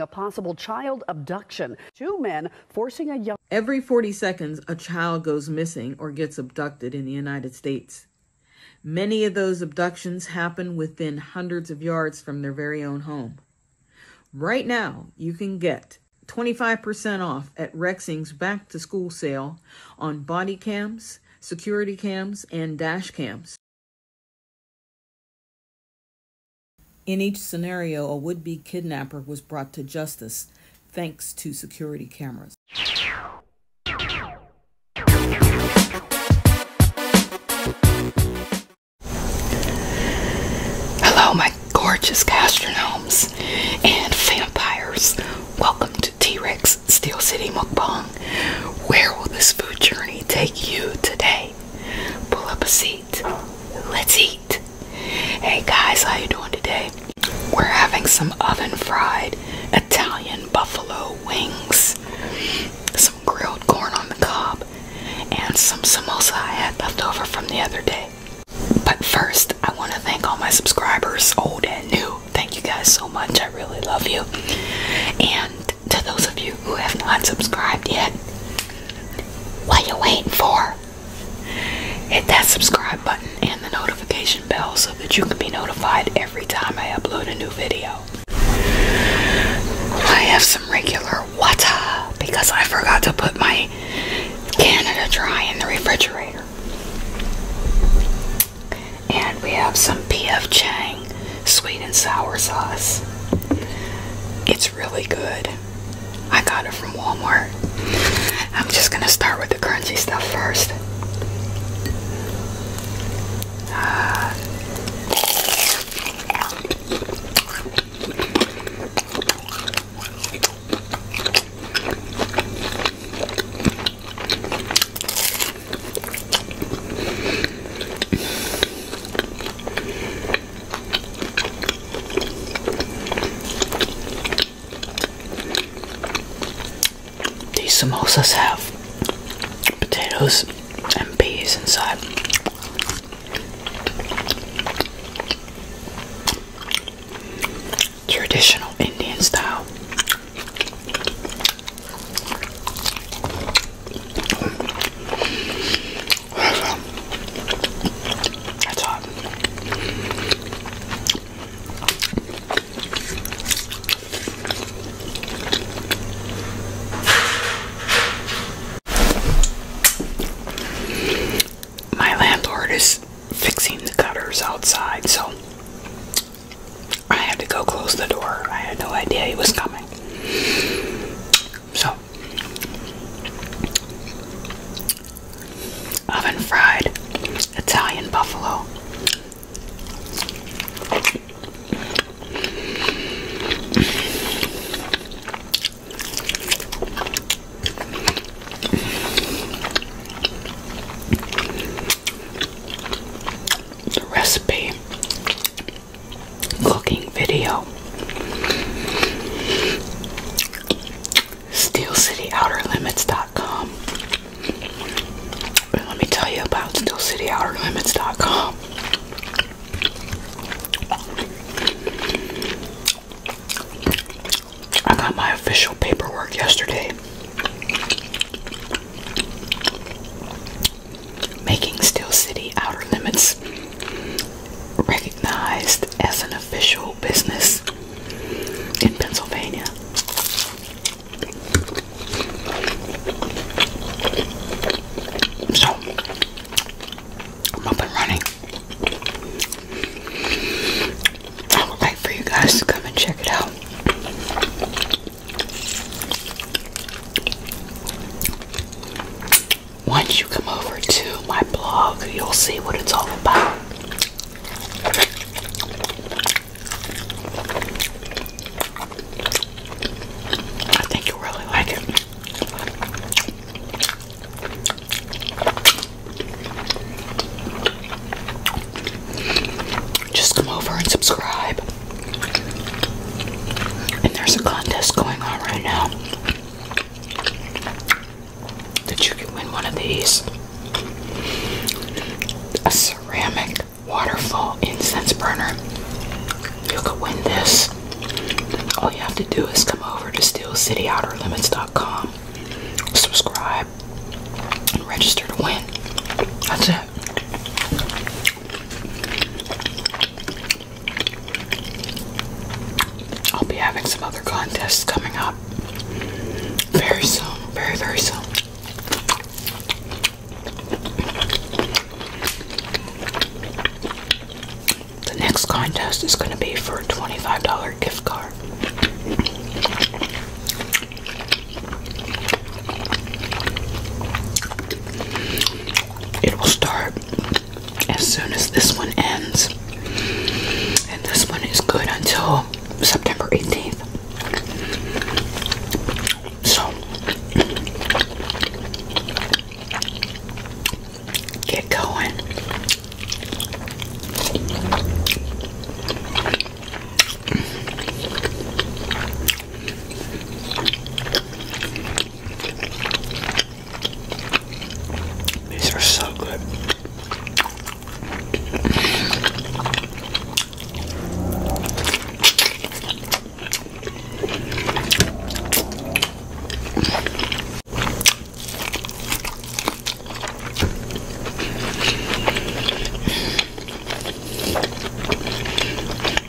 a possible child abduction. Two men forcing a young. Every 40 seconds, a child goes missing or gets abducted in the United States. Many of those abductions happen within hundreds of yards from their very own home. Right now, you can get 25% off at Rexing's back to school sale on body cams, security cams, and dash cams. In each scenario, a would be kidnapper was brought to justice thanks to security cameras. Hello, my gorgeous gastronomes and vampires. Welcome to T Rex Steel City Mukbang. Where will this food journey take you today? Pull up a seat Let's eat. Hey guys, how you doing today? We're having some oven fried Italian buffalo wings, some grilled corn on the cob, and some samosa I had leftover from the other day. But first, I want to thank all my subscribers, old and new. Thank you guys so much. I really love you. And to those of you who have not subscribed yet. What are you waiting for? Hit that subscribe button and the notification bell so that you can be notified every time I upload a new video. I have some regular water because I forgot to put my Canada Dry in the refrigerator. And we have some P.F. Chang sweet and sour sauce. It's really good. I got it from Walmart. I'm just gonna start with the crunchy stuff first. These samosas have potatoes and peas inside. Traditional Indian style. My landlord is fixing the gutters outside, so I had to go close the door. I had no idea he was coming. So Oven fried Italian buffalo. The recipe cooking video. SteelCityOuterLimits.com. And let me tell you about SteelCityOuterLimits.com. I got my official paperwork yesterday making Steel City Outer Limits recognized as an official business in Pennsylvania. So, I'm up and running. I would like for you guys to come and check it out once you come over to my blog, you'll see what it's all about. I think you really like it. Just come over and subscribe. And there's a contest going on right now that you can win one of these a ceramic waterfall incense burner. You could win this. All you have to do is come over to steelcityoutterlimits.com, subscribe, and register to win. That's it. I'll be having some other contests coming up very soon, very, very soon. The next contest is going to be for a $25 gift card. It will start as soon as this one ends. And this one is good until September 18th. So, get going. These are so good.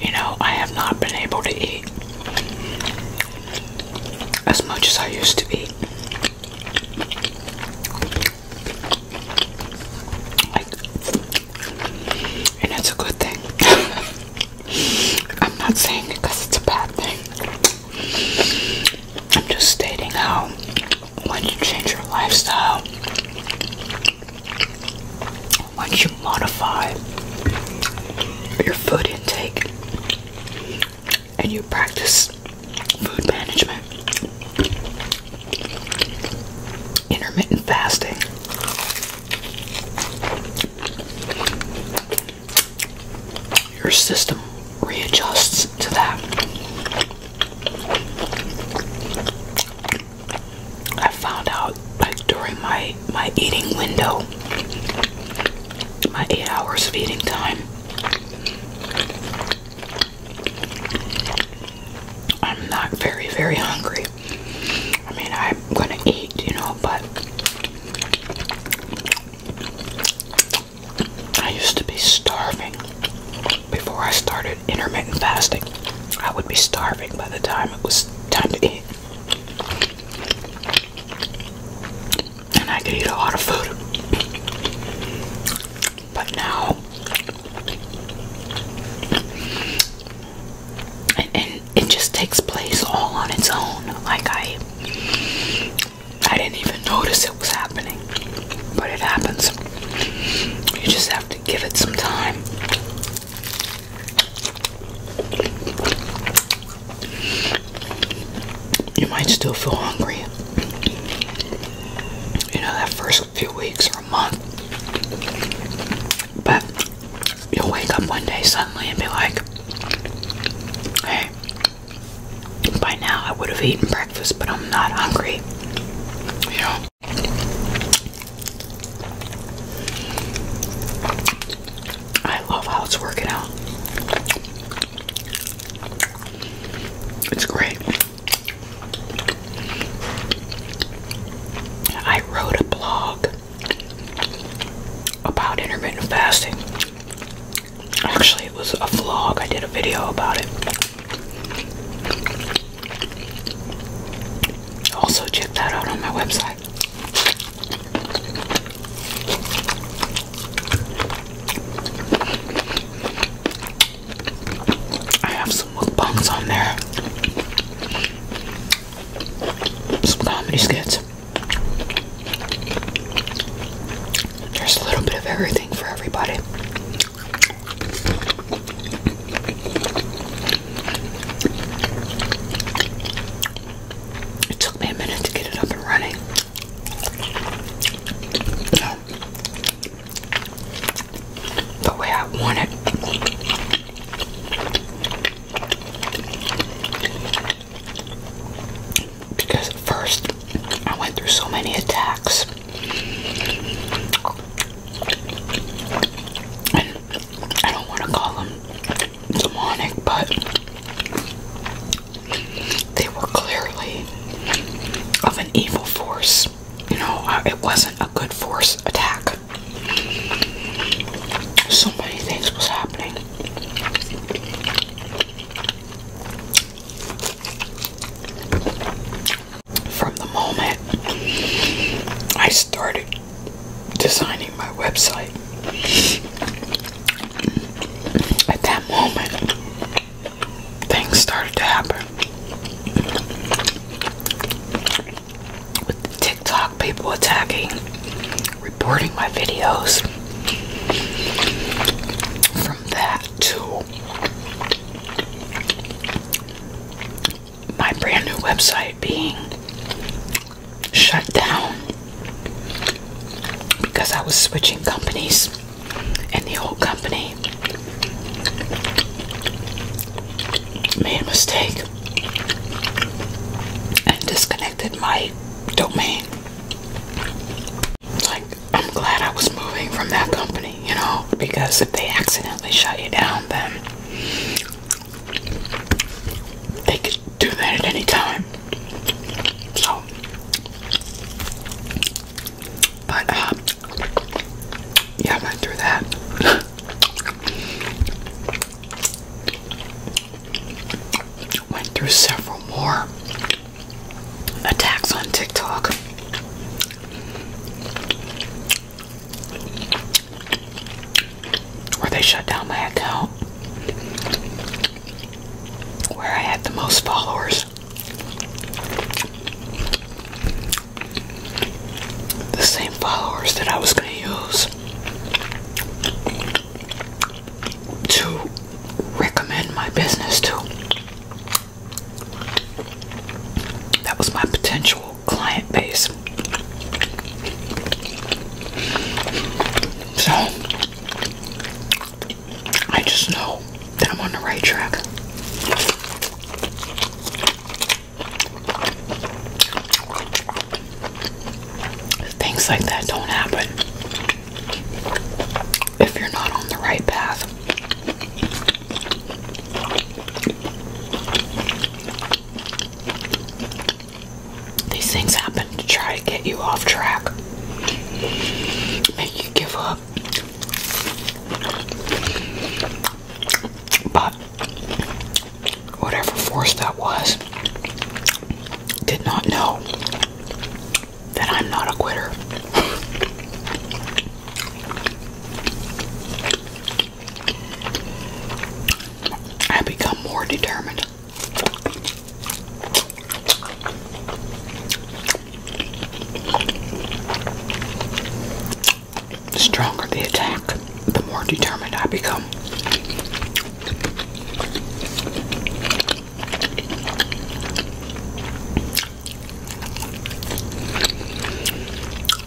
You know, I have not been able to eat as much as I used to eat. and it's a good thing. I'm not saying because it's a bad thing. I'm just stating how when you change your lifestyle, once you modify your food intake and you practice food management, intermittent fasting, your system readjusts to that. I found out like during my my eating window, my eight hours of eating time. I'm not very, very hungry. I mean, I'm gonna eat, you know, but I used to be starving before I started intermittent fasting, I would be starving by the time it was time to eat. And I could eat a lot of food. But now, and it just takes place all on its own. Like I, I didn't even notice it was happening, but it happens. You just have to give it some time. You might still feel hungry. You know, that first few weeks or a month. But you'll wake up one day suddenly and be like, hey, by now I would have eaten breakfast, but I'm not hungry. You I love how it's working out. It's great. I wrote a blog about intermittent fasting. Actually, it was a vlog. I did a video about it. Also, check that out on my website. I have some mukbangs on there, some comedy skits. There's a little bit of everything for everybody. It took me a minute to get it up and running. The way I want it. Because first I went through so many attacks. I don't want to call them demonic, but they were clearly of an evil force. You know, it wasn't a good force attack. So many things was happening. From the moment I started designing my website. At that moment, things started to happen. With the TikTok people attacking, reporting my videos. From that to my brand new website being shut down because I was switching companies and the old company made a mistake and disconnected my domain. Like, I'm glad I was moving from that company, you know, because if they accidentally shut you down, then they could do that at any time. So, but uh, yeah, I went through that. went through several more attacks on TikTok where they shut down my account, where I had the most followers. The same followers that I was going to use to recommend my business to. That was my potential client base. So, I just know that I'm on the right track. Things like that don't happen if you're not on the right path. These things happen to try to get you off track, make you give up. But whatever force that was did not know that I'm not a quitter. I become more determined. The stronger the attack, the more determined I become.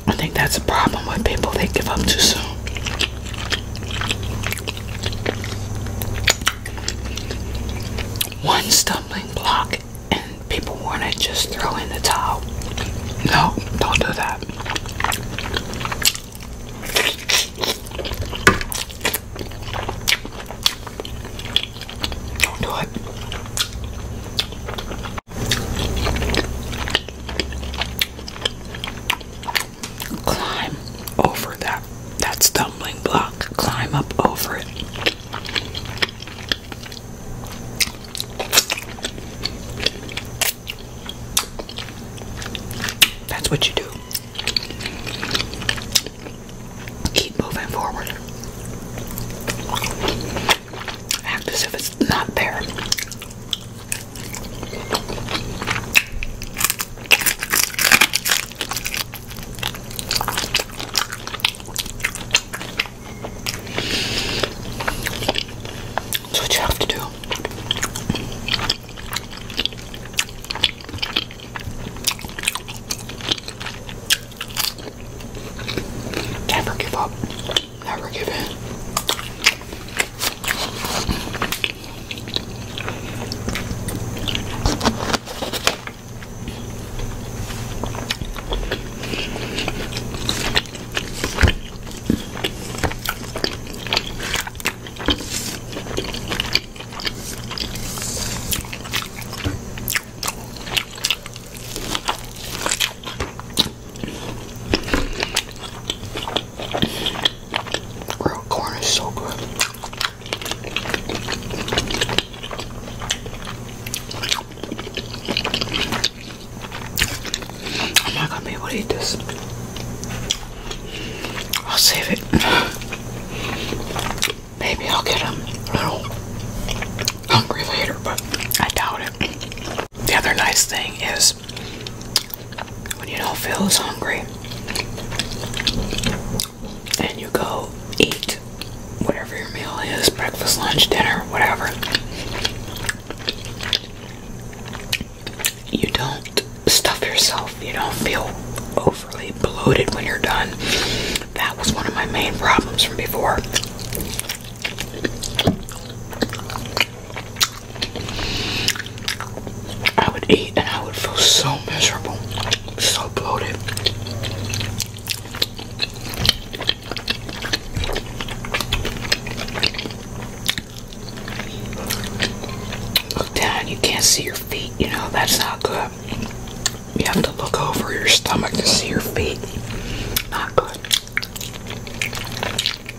I think that's a problem with people, they give up too soon. One stumbling block, and people want to just throw in the towel. No, don't do that. Don't do it. Climb over that that stumbling block. Climb up over it. That's what you do. Keep moving forward act as if it's not there. That's what you have to do. Never give up. Never give in. Grilled corn is so good. I'm not gonna be able to eat this. I'll save it. Maybe I'll get a little hungry later, but I doubt it. The other nice thing is when you don't feel as hungry and you go eat whatever your meal is breakfast, lunch, dinner, whatever you don't stuff yourself, you don't feel overly bloated when you're done. That was one of my main problems from before. I would eat and I would feel so miserable, so bloated. Look down, you can't see your feet, you know, that's not good. You have to look over your stomach to see your feet. Not good. Oh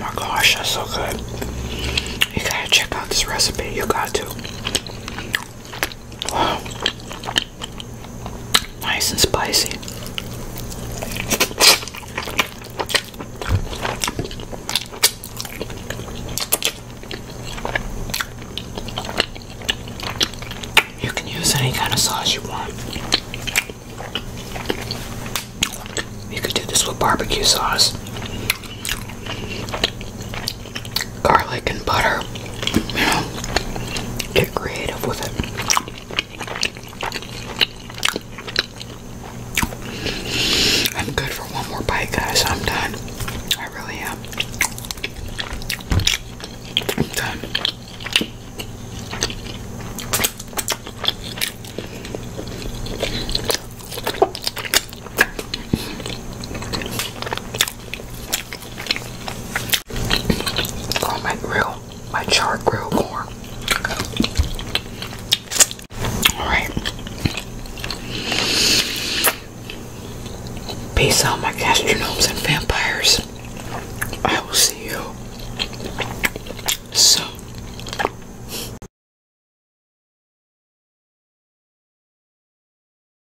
my gosh, that's so good. You gotta check out this recipe, you got to. Wow. Nice and spicy. You can use any kind of sauce you want. You could do this with barbecue sauce garlic and butter. You know, get creative with it. I'm good for one more bite, guys. I'm done. I really am. I'm done on my grill, my char grilled corn. Alright. Peace out, my gastronomes and vampires. I will see you soon.